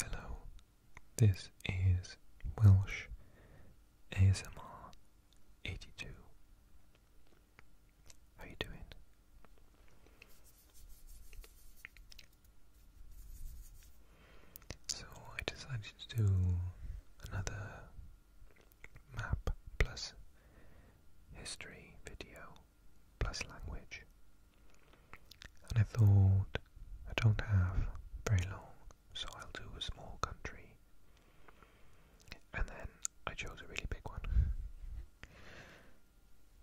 Hello, this is Welsh ASMR 82. How you doing? So I decided to do another map plus history video plus language. And I thought, I don't have very long, so I'll do a small country. And then I chose a really big one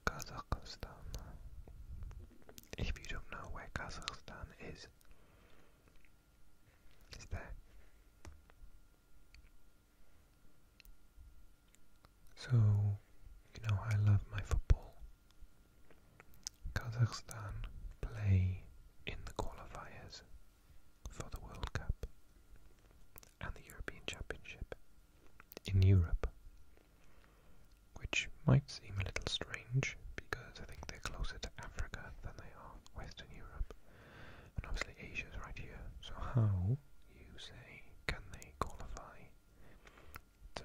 Kazakhstan. If you don't know where Kazakhstan is, it's there. So, you know, I love my football. Kazakhstan play in the qualifiers for the World Cup and the European Championship in Europe, which might seem a little strange because I think they're closer to Africa than they are Western Europe, and obviously Asia's right here. So, how you say, can they qualify to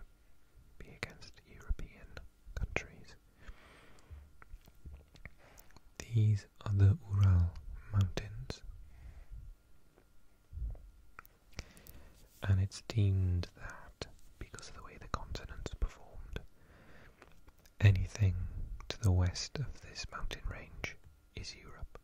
be against European countries? These are the Ural Mountains. And it's deemed that, because of the way the continents performed, anything to the west of this mountain range is Europe.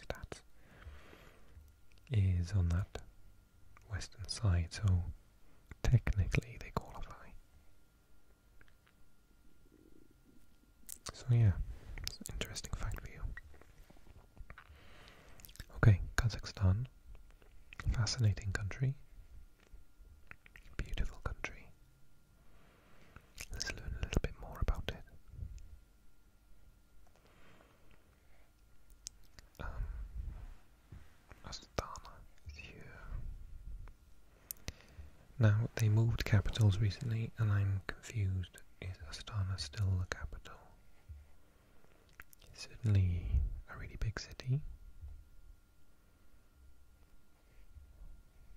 stats is on that western side, so technically they qualify. So yeah, it's an interesting fact for you. Okay, Kazakhstan, fascinating country, beautiful country, Let's learn a little bit more about it. Um, Astana Now, they moved capitals recently, and I'm confused. Is Astana still the capital? certainly a really big city.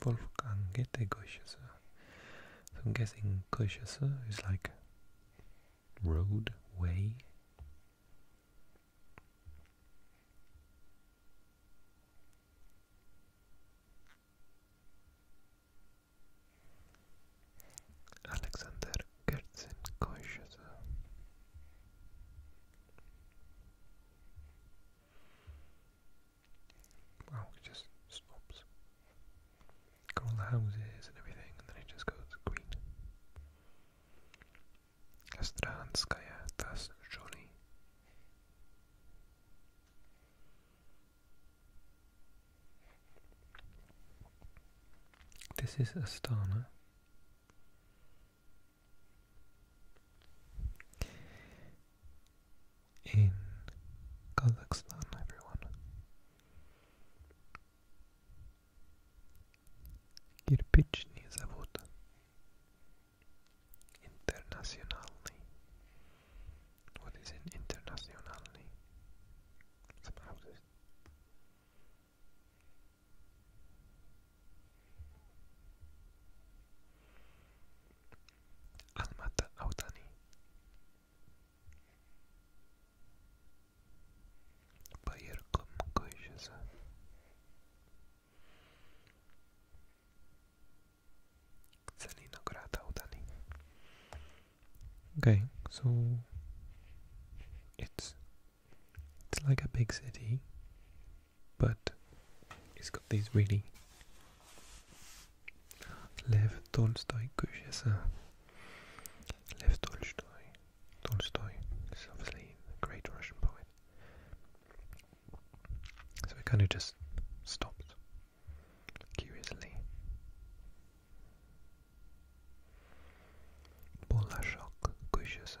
Wolfgang Goethe-Goeschesser. So I'm guessing Goeschesser is like road, way. Alexander Gertzen Goeschesser. Wow, it just stops. Got all the houses and everything, and then it just goes green. Astranskaya Tasjoli. This is Astana. in Kazakhstan, everyone. Кирпичный завод Internationally. What is an internationally? Some houses. Almata Autani Bayırkım kıyısı Zelenograd Audani Okay, so it's it's like a big city but it's got these really Lev Tolstoy Kushesa. Lev Tolstoy. Tolstoy is obviously a great Russian poet. So it kind of just stopped, curiously. Bolashok Kushesa.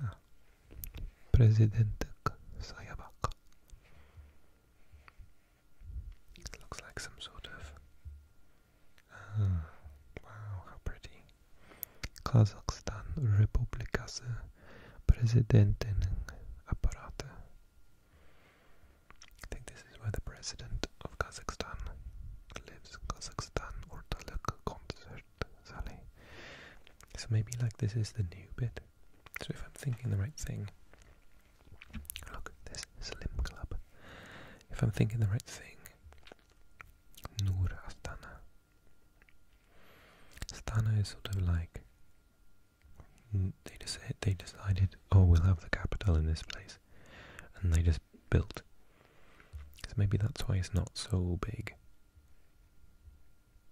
Ha. Presidentek Sayabak. It looks like some sort of. Uh, wow, how pretty. Kazakhstan Republikası uh, Presidentinin Apparate. I think this is where the president of Kazakhstan lives. Kazakhstan Ortalık Konser. So maybe like this is the new bit. So if I'm thinking the right thing, look, this Slim Club. If I'm thinking the right thing, Nur Astana. Astana is sort of like mm, they just they decided, oh, we'll have the capital in this place, and they just built. So maybe that's why it's not so big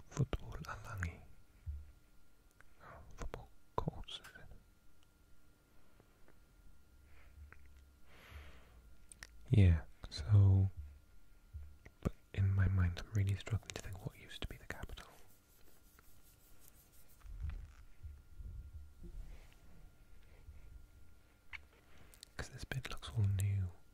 football alangi. Oh, Yeah, so, but in my mind I'm really struggling to think what used to be the capital. Because this bit looks all new.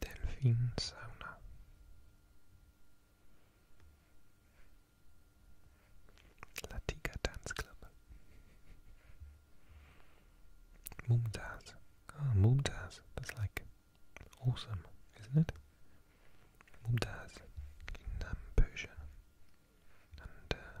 Delphine sauna. Latika Dance Club. Mumtaz. Oh, Mumtaz. That's like awesome, isn't it? Mumtaz in Namibia, and uh,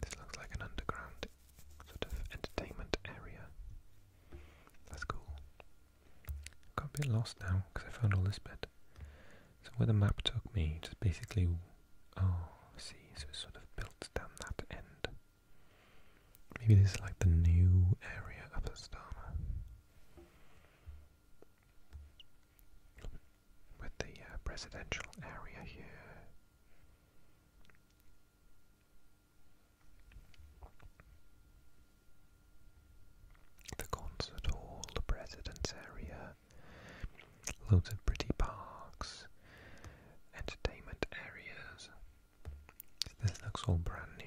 This looks like an underground sort of entertainment area. That's cool. Got a bit lost now because I found all this bed. So where the map took me, just basically, oh, see, so it's sort of built down that end. Maybe this is like the new area of Astana with the uh, presidential area here. The concert hall, the president's area, loads of pretty parks, entertainment areas. This looks all brand new.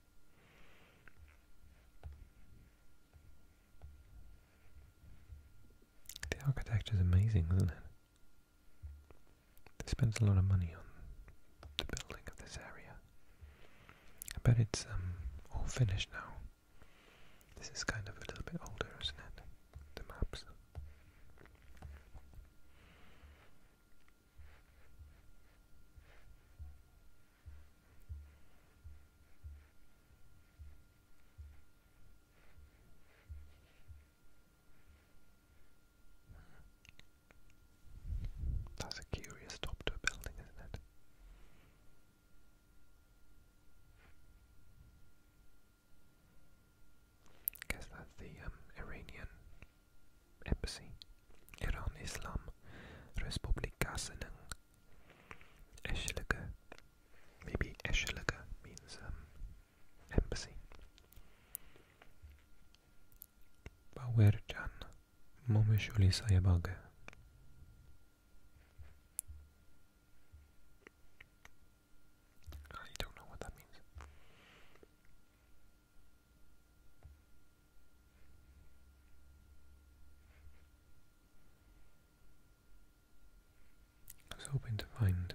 The architecture is amazing, isn't it? They spend a lot of money on the building of this area. I bet it's um, all finished now. This is kind of a little bit older, isn't it? The maps. That's a curious top to a building, isn't it? Guess that's the um, Iranian embassy. Iran, Islam Respublikasının eşyalığı. Maybe eşyalığı means um, embassy. Bawercan Momuşuli Sayabagı. I don't know what that means. I was hoping to find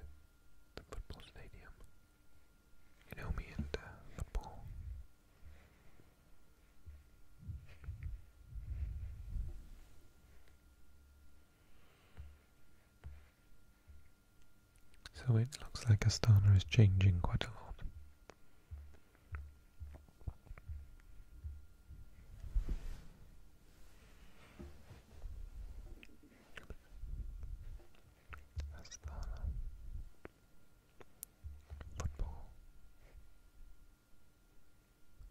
the football stadium. You know me and uh, football. So it looks like Astana is changing quite a lot. Astana Football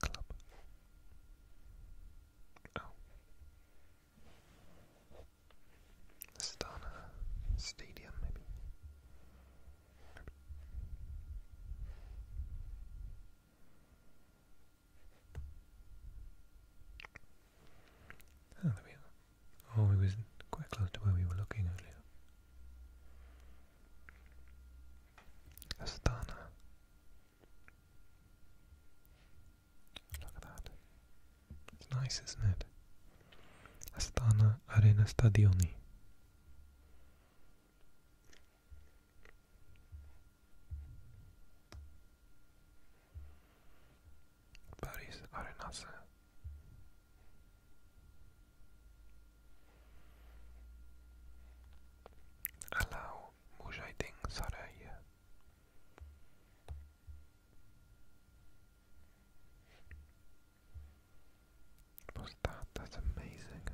Club. Oh. Astana Stadium, maybe. Oh, there we are. Oh, it was quite close to where we were looking earlier. Astana. Look at that. It's nice, isn't it? Astana Arena Stadioni. Paris Arenase. Allow Mujahideen Saraya. What was that? That's amazing.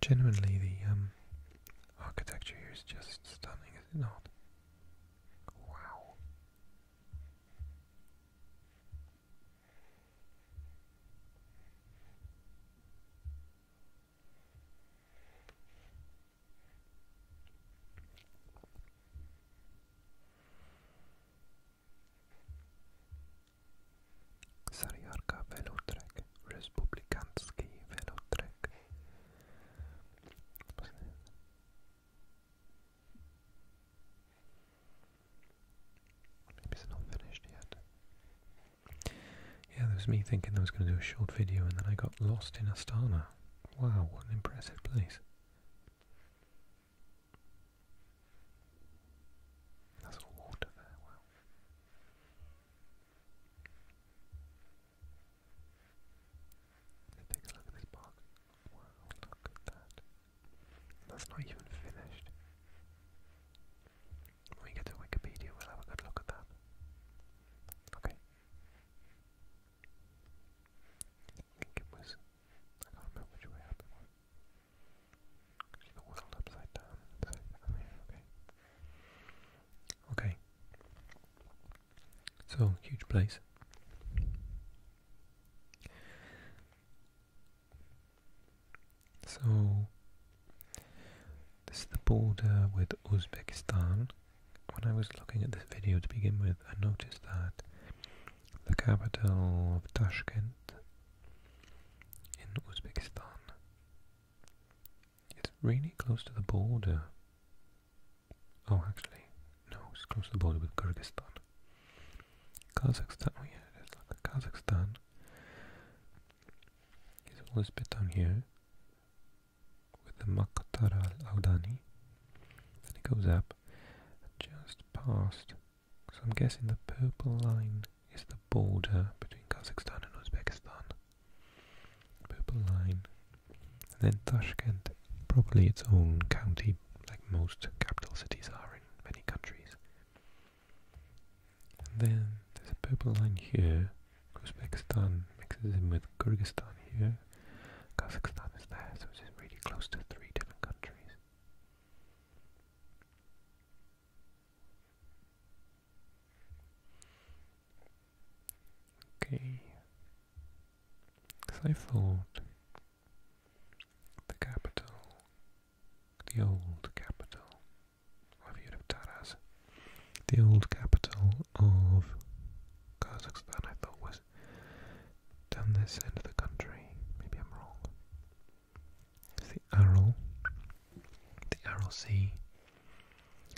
Genuinely, the um, architecture here is just stunning, is it not? Wow. Sariarka Velotrek, Republikanski Velotrek. Maybe it's not finished yet. Yeah, there was me thinking I was going to do a short video and then I got lost in Astana. Wow, what an impressive place. That's all water there, Let's take a look at this park. Wow, look at that. That's not even finished. When we get to Wikipedia, we'll have a good look at that. Okay. I think it was, I can't remember which way up the world upside down. okay. Okay. So, huge place. So, this is the border with Uzbekistan when I was looking at this video to begin with, I noticed that the capital of Tashkent in Uzbekistan is really close to the border. Oh, actually, no, it's close to the border with Kyrgyzstan. Kazakhstan, oh yeah, it's like Kazakhstan. It's always bit down here with the Makatara al-Awdani. Then it goes up just past, so I'm guessing the purple line is the border between Kazakhstan and Uzbekistan. Purple line. then Tashkent, probably its own county, like most capital cities are in many countries. And then there's a purple line here. Uzbekistan mixes in with Kyrgyzstan here. Kazakhstan is there, so it's really close to three different countries. Okay, because I thought the capital, the old capital, I've heard of Taraz, the old capital of Kazakhstan, I thought down this end of the country. Maybe I'm wrong. the Aral, the Aral Sea.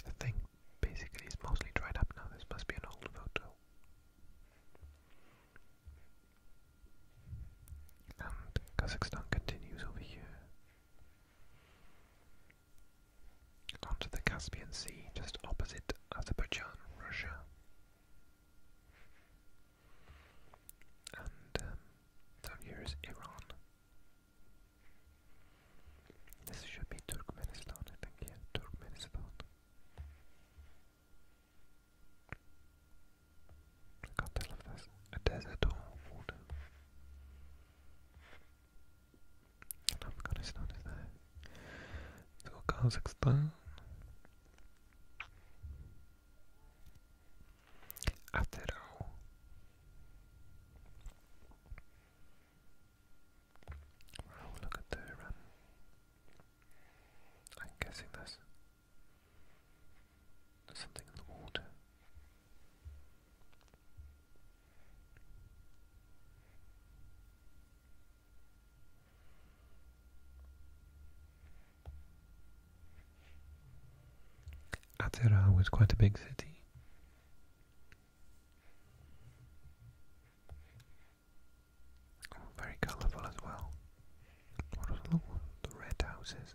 I think basically it's mostly dried up now. This must be an old photo. And Kazakhstan continues over here onto the Caspian Sea just opposite Azerbaijan, Russia. And um, here is Iran. This should be Turkmenistan, I think, yeah, Turkmenistan. I can't tell if that's a desert or water. And Afghanistan is there. So Kazakhstan. After all, well, look at the I'm guessing there's something in the water. Atera was quite a big city. very colourful as well. What was the one? The red houses.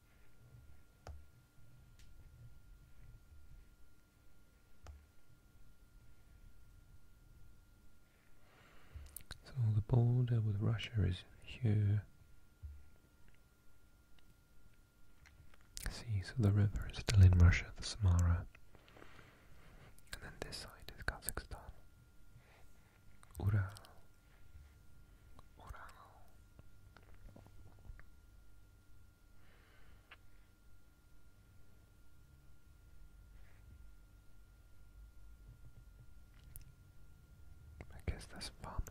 So the border with Russia is here. See, so the river is still in Russia, the Samara. And then this side is Kazakhstan. Ural. I guess that's farmland.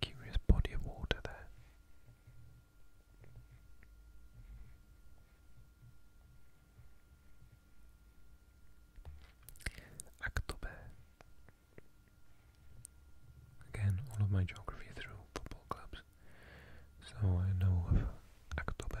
Curious body of water there. Aktobe. Again, all of my geography through football clubs, so I know of Aktobe.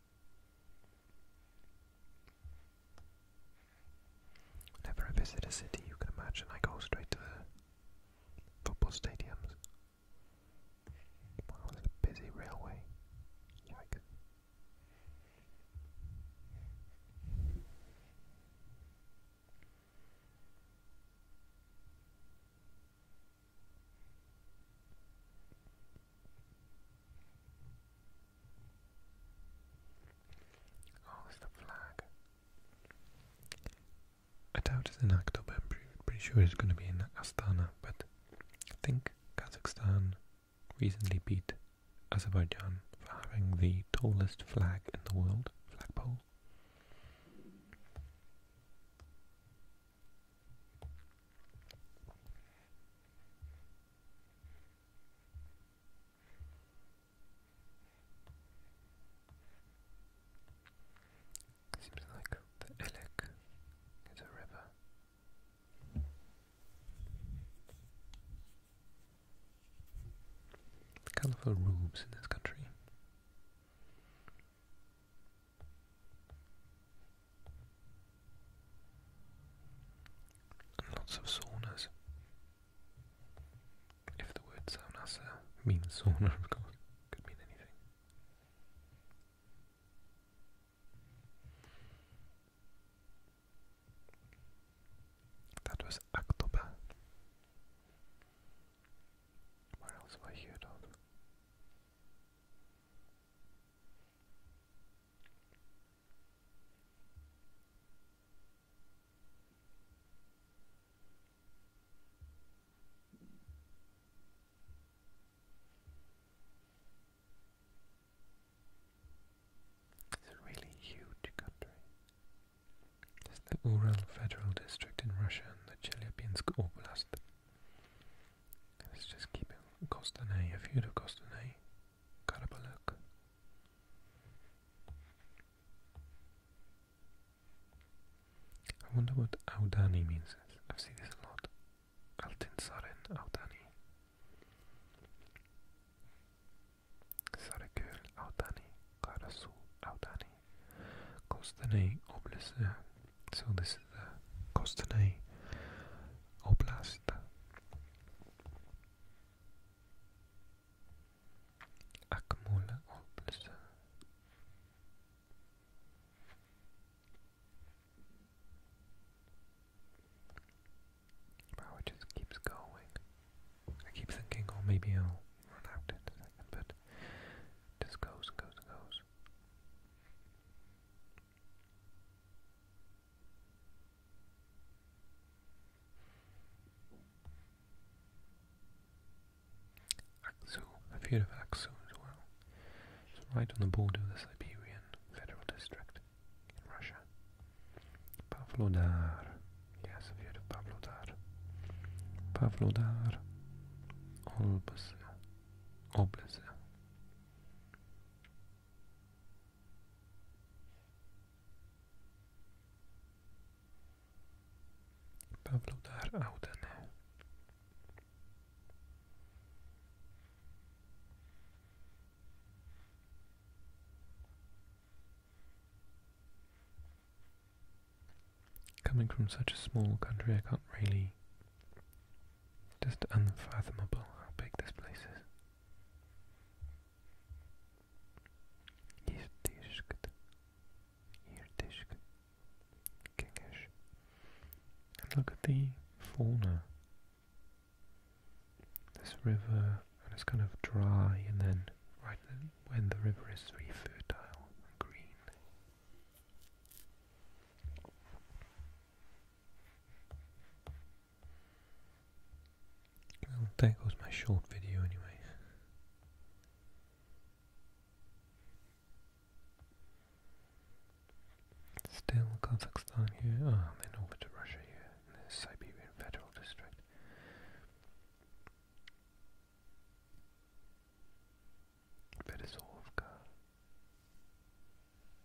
Whenever I visit a city, you can imagine I go straight to the football stadiums. Wow, a busy railway. Oh, the flag. I doubt it's in October, I'm pretty, pretty sure it's going to be in Astana, but I think Kazakhstan recently beat Azerbaijan for having the tallest flag in the world, flagpole. Seems like the Ilek is a river. Colourful roofs in this country lots of saunas. If the word sauna means sauna, of course, could mean anything. That was October. Where else have I heard of? It's a really huge country. There's the Ural Federal District in Russia and the Chelyabinsk Oblast. Let's just keep it Kostanay. Have you heard Kostanay? Karabalık I wonder what Audani means. I've seen this a lot. Altınsarin Audani. Sarıköy Audani. Karasu Audani. Kostanay Oblast. So this is the Kostanay Oblast it just keeps going. I keep thinking, oh, maybe I'll run out in a second, but it just goes goes goes. Aksu, I've of Aksu as well. It's right on the border of the Siberian Federal District in Russia. Pavlodar. Yes, I've heard of Pavlodar. Pavlodar. Olbasa. Oblasa. Pavlodar Audenau Coming from such a small country I can't really just unfathomable how big this place is. Yirtishk Yirtishk Gengish and look at the fauna this river and it's kind of dry and then right when the river is really fertile and green well, there goes my short video anyway. Still Kazakhstan here. Ah, then over to Russia here, the Siberian Federal District. Berezovka.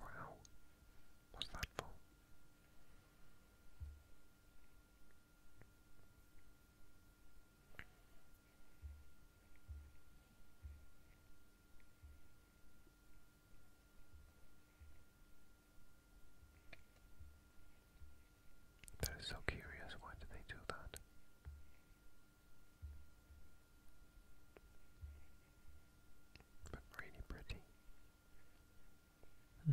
Wow. What's that for? That is so curious, why did they do that? but really pretty. Hmm.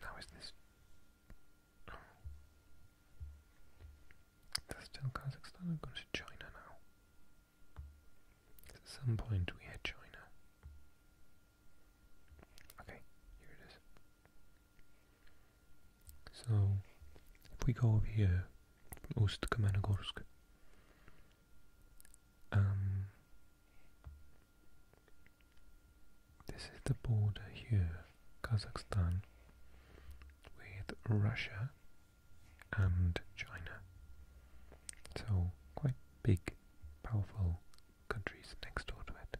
Now is this? Oh. That's Kazakhstan. i to China now. At some point we had China. Okay, here it is. So, if we go over here, Ust Kamenogorsk, um, this is the border here, Kazakhstan, with Russia and China. So, quite big, powerful countries next door to it.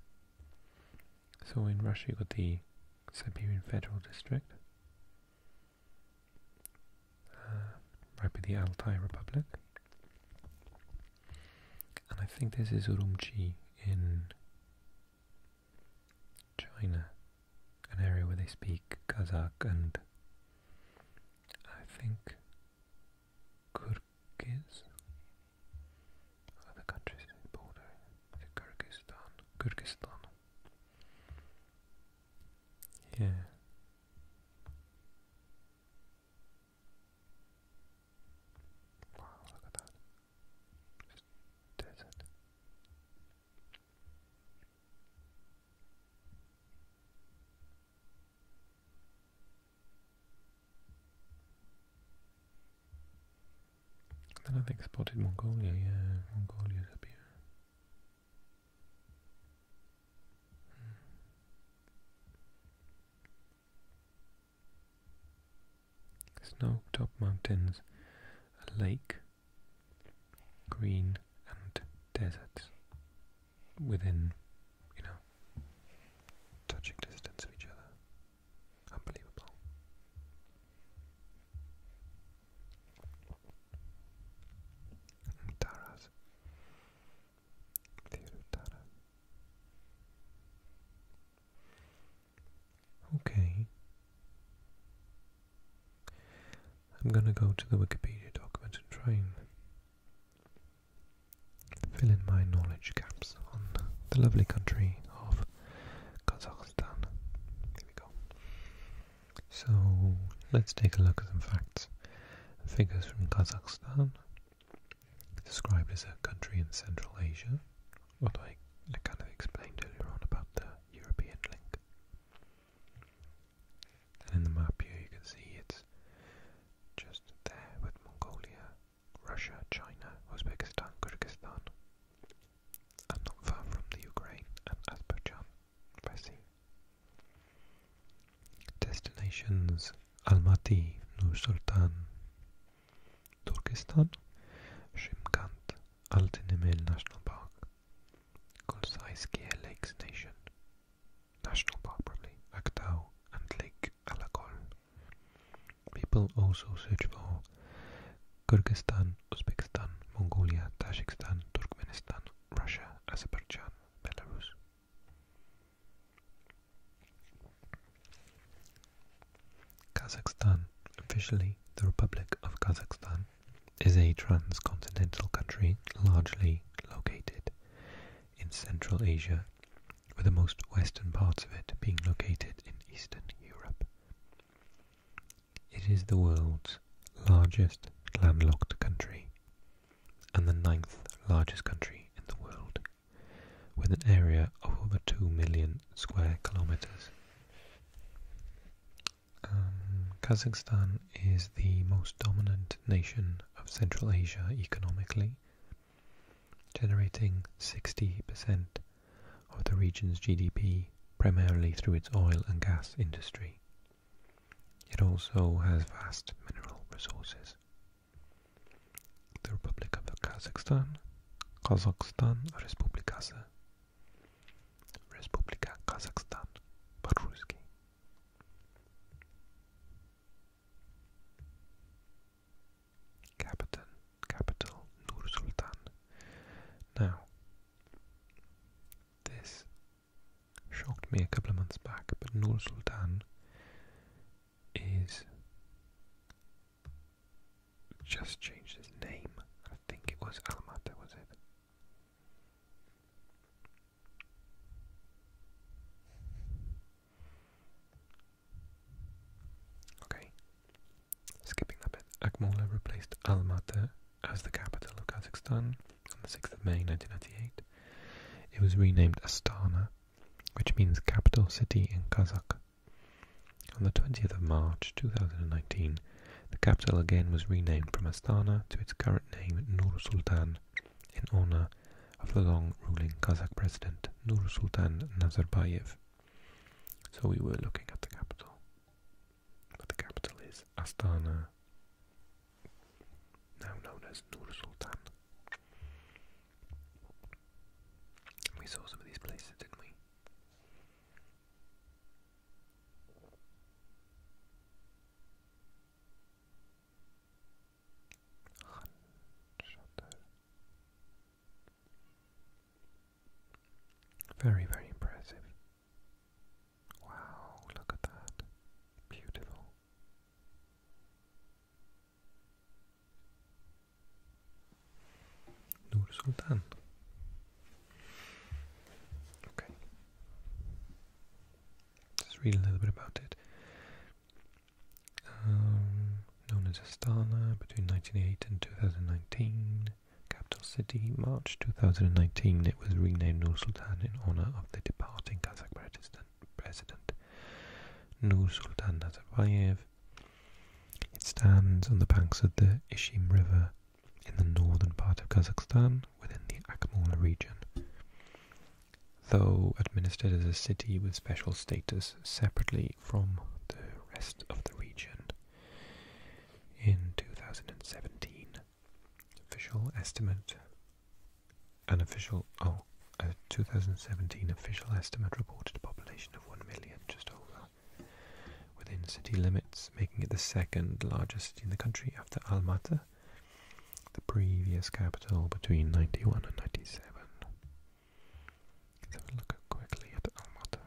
So, in Russia, you've got the Siberian Federal District, uh, right by the Altai Republic, and I think this is Urumqi in China, an area where they speak Kazakh and I think Kyrgyz. Other countries border, Kyrgyzstan, Kyrgyzstan. Yeah. Wow, look at that. desert. then I think spotted Mongolia, yeah, Mongolia's up here. Hmm. Snow-top mountains, a lake, green and deserts within, you know, touching distance of each other. Unbelievable. Taras. Okay. I'm gonna go to the Wikipedia document and try and fill in my knowledge gaps on the lovely country of Kazakhstan. There we go. So let's take a look at some facts. Figures from Kazakhstan described as a country in Central Asia, what I, I kind of explained earlier on about the European link. And in the map here you can see it's just there with Mongolia, Russia, China, Uzbekistan, Kyrgyzstan, and not far from the Ukraine and Azerbaijan by sea. Destinations Almaty, Nur-Sultan, Turkestan, Shimkant, Altınemel National Park, Kolsaiskiye Lakes Nation, National Park probably, Aktau and Lake Alakol. People also search for Kyrgyzstan, Uzbekistan, Mongolia, Tajikistan, Turkmenistan, Russia, Azerbaijan, Belarus, Kazakhstan, officially the Republic of Kazakhstan, is a transcontinental country largely located in Central Asia, with the most western parts of it being located in Eastern Europe. It is the world's largest landlocked country and the ninth largest country in the world with an area of over 2 million square kilometers. Um, Kazakhstan is the most dominant nation of Central Asia economically, generating 60% of the region's GDP primarily through its oil and gas industry. It also has vast mineral resources. The Republic of Kazakhstan, Kazakhstan, Республикасы, Республика Казахстан по-русски. Capital, capital Nur Sultan. Now, this shocked me a couple of months back, but Nur Sultan is just changed his name. I think it was Alamata, was it? Okay. Skipping that bit. Akmola replaced Almaty as the capital of Kazakhstan on the 6th of May 1998. It was renamed Astana which means capital city in Kazakh. On the 20th of March 2019, the capital again was renamed from Astana to its current name Nur Sultan in honor of the long ruling Kazakh president Nur Sultan Nazarbayev. So we were looking at the capital. But the capital is Astana, now known as Nur Sultan. We saw some of these places, didn't we? Very, very impressive. Wow, look at that. Beautiful. Nur Sultan. Okay. Let's read a little bit about it. Um, known as Astana between 1908 and 2019, capital city. March 2019, it was renamed Nur Sultan in honor of the departing Kazakh President President Nursultan Nazarbayev. It stands on the banks of the Ishim River in the northern part of Kazakhstan within the Akmola region. Though administered as a city with special status separately from the rest of the region, in 2017, official estimate an official, oh, a 2017 official estimate reported a population of 1 million, just over, within city limits, making it the second largest city in the country after Almaty, the previous capital between 91 and 97. Let's have a look quickly at Almaty.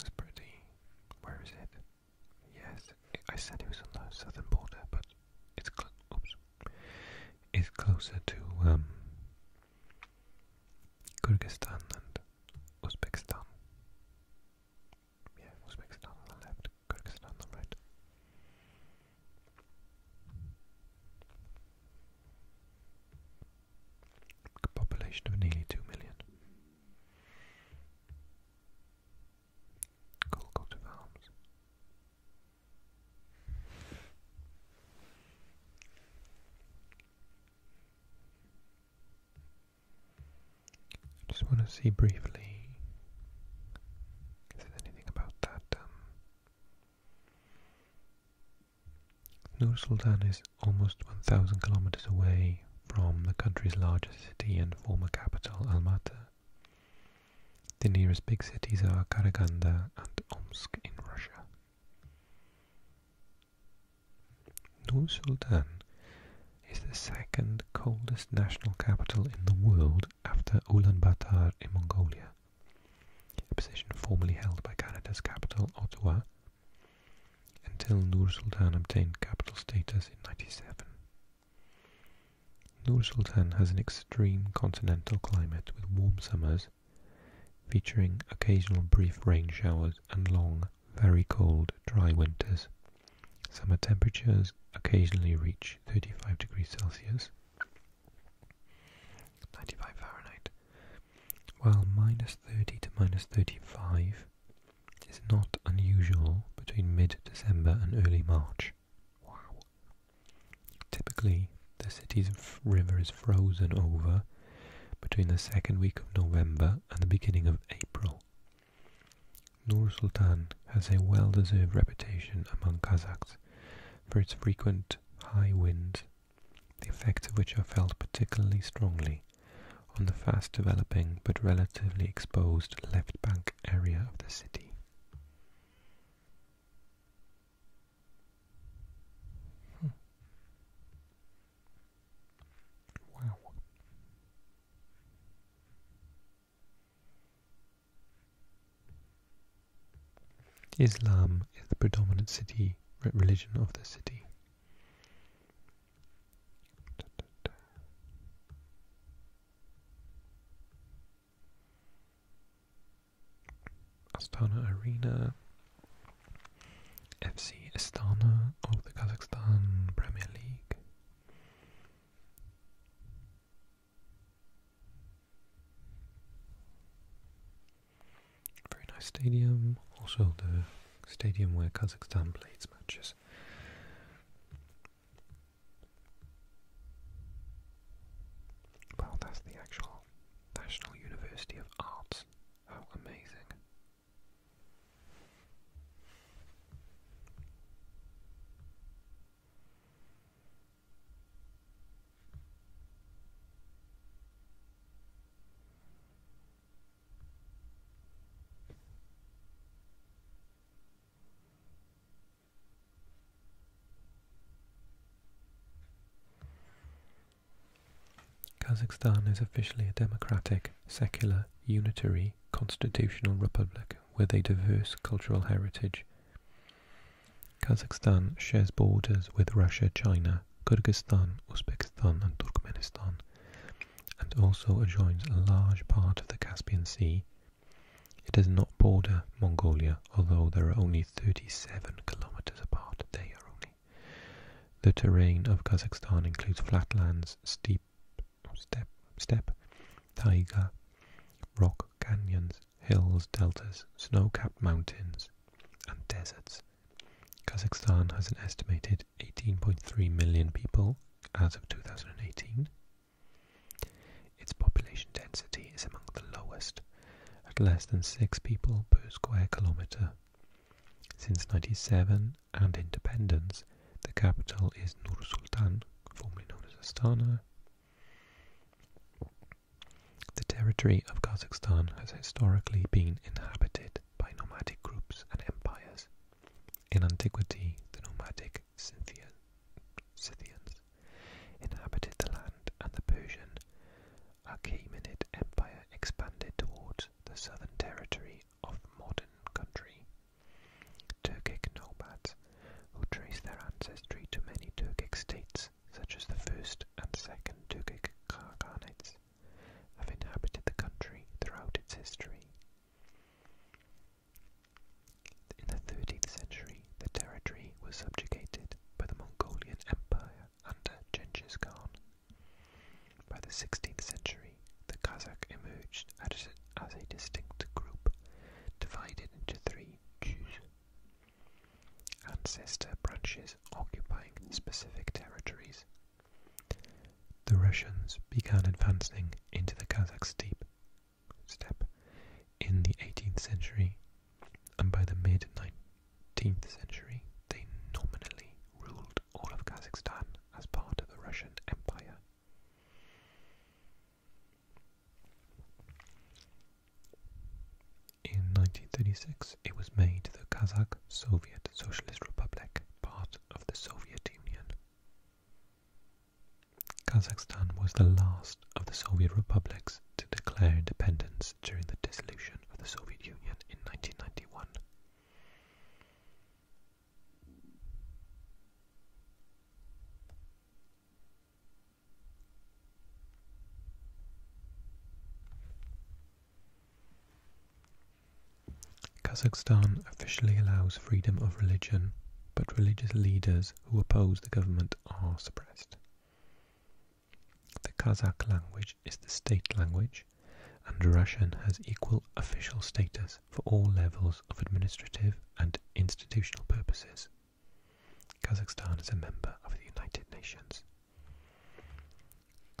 It's pretty. Where is it? Yes, I said it was on the southern border, but it's cl oops, it's closer to um, Kyrgyzstan and Uzbekistan. Yeah, Uzbekistan on the left, Kyrgyzstan on the right. A population of nearly two million. Golgotha Farms. I just want to see briefly if there's anything about that. Um, Nur Sultan is almost 1,000 kilometers away from the country's largest city and former capital, Almaty. The nearest big cities are Karaganda and Omsk in Russia. Nur Sultan is the second coldest national capital in the world after Ulaanbaatar in Mongolia, a position formerly held by Canada's capital, Ottawa, until Nur Sultan obtained capital status in 97. Nur Sultan has an extreme continental climate with warm summers, featuring occasional brief rain showers and long, very cold, dry winters. Summer temperatures occasionally reach 35 degrees Celsius, while minus 30 to minus 35 is not unusual between mid December and early March. Typically, the city's river is frozen over between the second week of November and the beginning of April. Nur Sultan has a well-deserved reputation among Kazakhs for its frequent high winds, the effects of which are felt particularly strongly on the fast developing but relatively exposed left bank area of the city. Hmm. Islam is the predominant city religion of the city. Astana Arena, FC Astana of the Kazakhstan Premier League. Very nice stadium, also the stadium where Kazakhstan plays matches. Well, that's the actual National University of Arts. How amazing! Kazakhstan is officially a democratic, secular, unitary, constitutional republic with a diverse cultural heritage. Kazakhstan shares borders with Russia, China, Kyrgyzstan, Uzbekistan, and Turkmenistan, and also adjoins a large part of the Caspian Sea, it does not border Mongolia, although there are only 37 kilometers apart. They are only. The terrain of Kazakhstan includes flatlands, steep step, steppe, taiga, rock canyons, hills, deltas, snow-capped mountains, and deserts. Kazakhstan has an estimated 18.3 million people as of 2018, its population density is among the lowest, at less than six people per square kilometre. Since 97 and independence, the capital is Nur Sultan, formerly known as Astana. The territory of Kazakhstan has historically been inhabited by nomadic groups and empires. In antiquity, the nomadic Scythians inhabited the land, and the Persian Achaemenid Empire expanded towards the southern territory of modern country. Turkic nomads, who trace their ancestry to many Turkic states, such as the first and second Turkic Khaghanates, have inhabited the country throughout its history. In the 13th century, the territory was subjugated by the Mongolian Empire under Genghis Khan. By the 16th century, the Kazakh emerged as, a distinct group, divided into three Ancestor branches occupying specific territories. The Russians began advancing into the Kazakh steppe step in the 18th century, and by the mid 19th century, they nominally ruled all of Kazakhstan as part of the Russian Empire. In 1936, it was made the Kazakh Soviet Socialist Republic, part of the Soviet Union. Kazakhstan was the last of the Soviet republics to declare independence during the dissolution of the Soviet Union in 1991. Kazakhstan officially allows freedom of religion, but religious leaders who oppose the government are suppressed. The Kazakh language is the state language, and Russian has equal official status for all levels of administrative and institutional purposes. Kazakhstan is a member of the United Nations.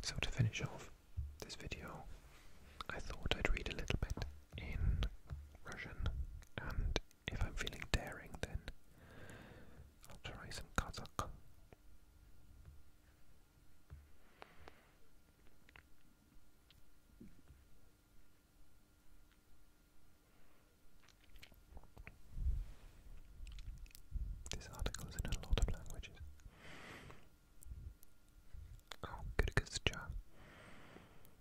So to finish off this video, I thought I'd read a little bit in Russian and if I'm feeling daring, then I'll try some Kazakh. This article's in a lot of languages. Oh, Kyrgyzcha.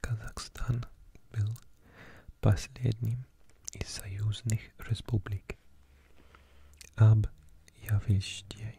Казахстан был последним из союзных республик объявившей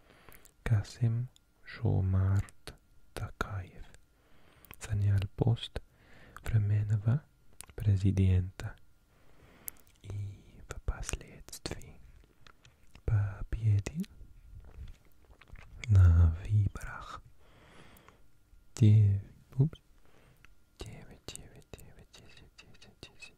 Kasim Жомарт Такаев занял пост временного президента и впоследствии победил на выборах 9, 9, 9, 9, 10, 10, 10,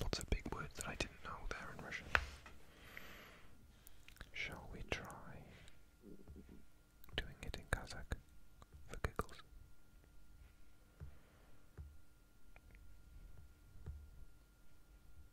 Lots of big words that I didn't know there in Russian. Shall we try doing it in Kazakh for giggles?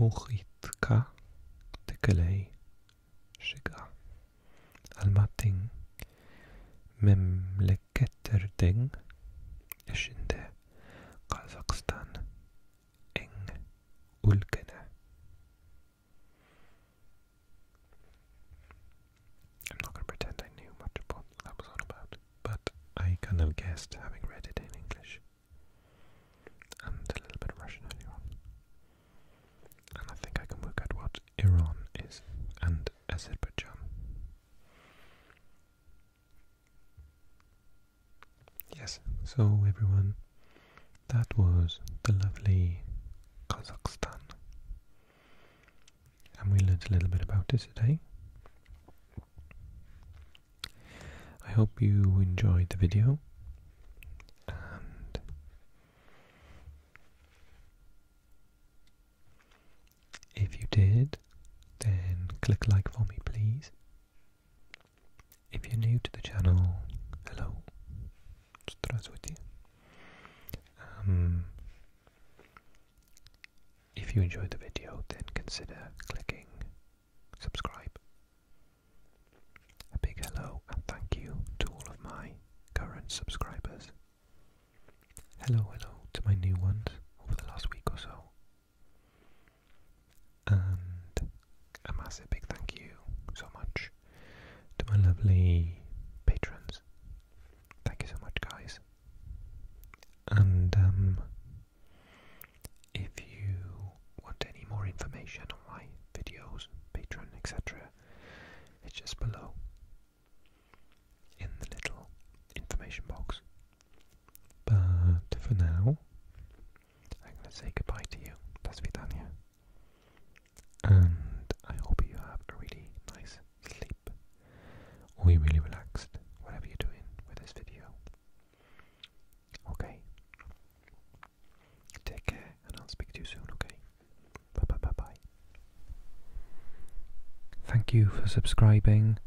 محيطك تكلي شجع الماتين memleketlerdin içinde Kazakistan en ülkene. I'm not going to pretend I knew much about what that was all about, but I kind of guessed having read it in English. and a little bit of Russian earlier And I think I can work out what Iran is and Azerbaijan. Yes, so everyone, that was the lovely Kazakhstan. And we learnt a little bit about it today. I hope you enjoyed the video, if you did, then click like for me, please. If you're new to the channel, hello. Здравствуйте. Um, if you enjoyed the video, then consider clicking subscribe. A big hello and thank you to all of my current subscribers. Hello, hello to my new ones over the last week or so. And a massive big thank you so much to my lovely patrons. Thank you so much, guys. And um, if you want any more information on my videos, Patreon, etc., it's just below in the little information box. But for now, I'm going to say goodbye to you. That's Vidania. And I hope you have a really nice sleep, or you really relaxed, whatever you're doing with this video. Okay. Take care, and I'll speak to you soon, okay? Bye bye bye bye. Thank you for subscribing,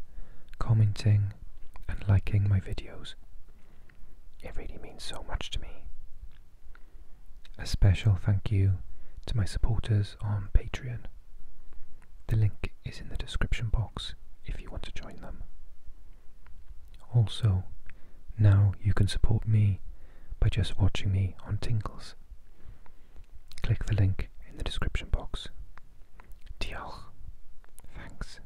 commenting, and liking my videos. It really means so much to me. A special thank you to my supporters on Patreon. The link is in the description box if you want to join them. Also, now you can support me by just watching me on Tinkles. Click the link in the description box. Diolch. Thanks.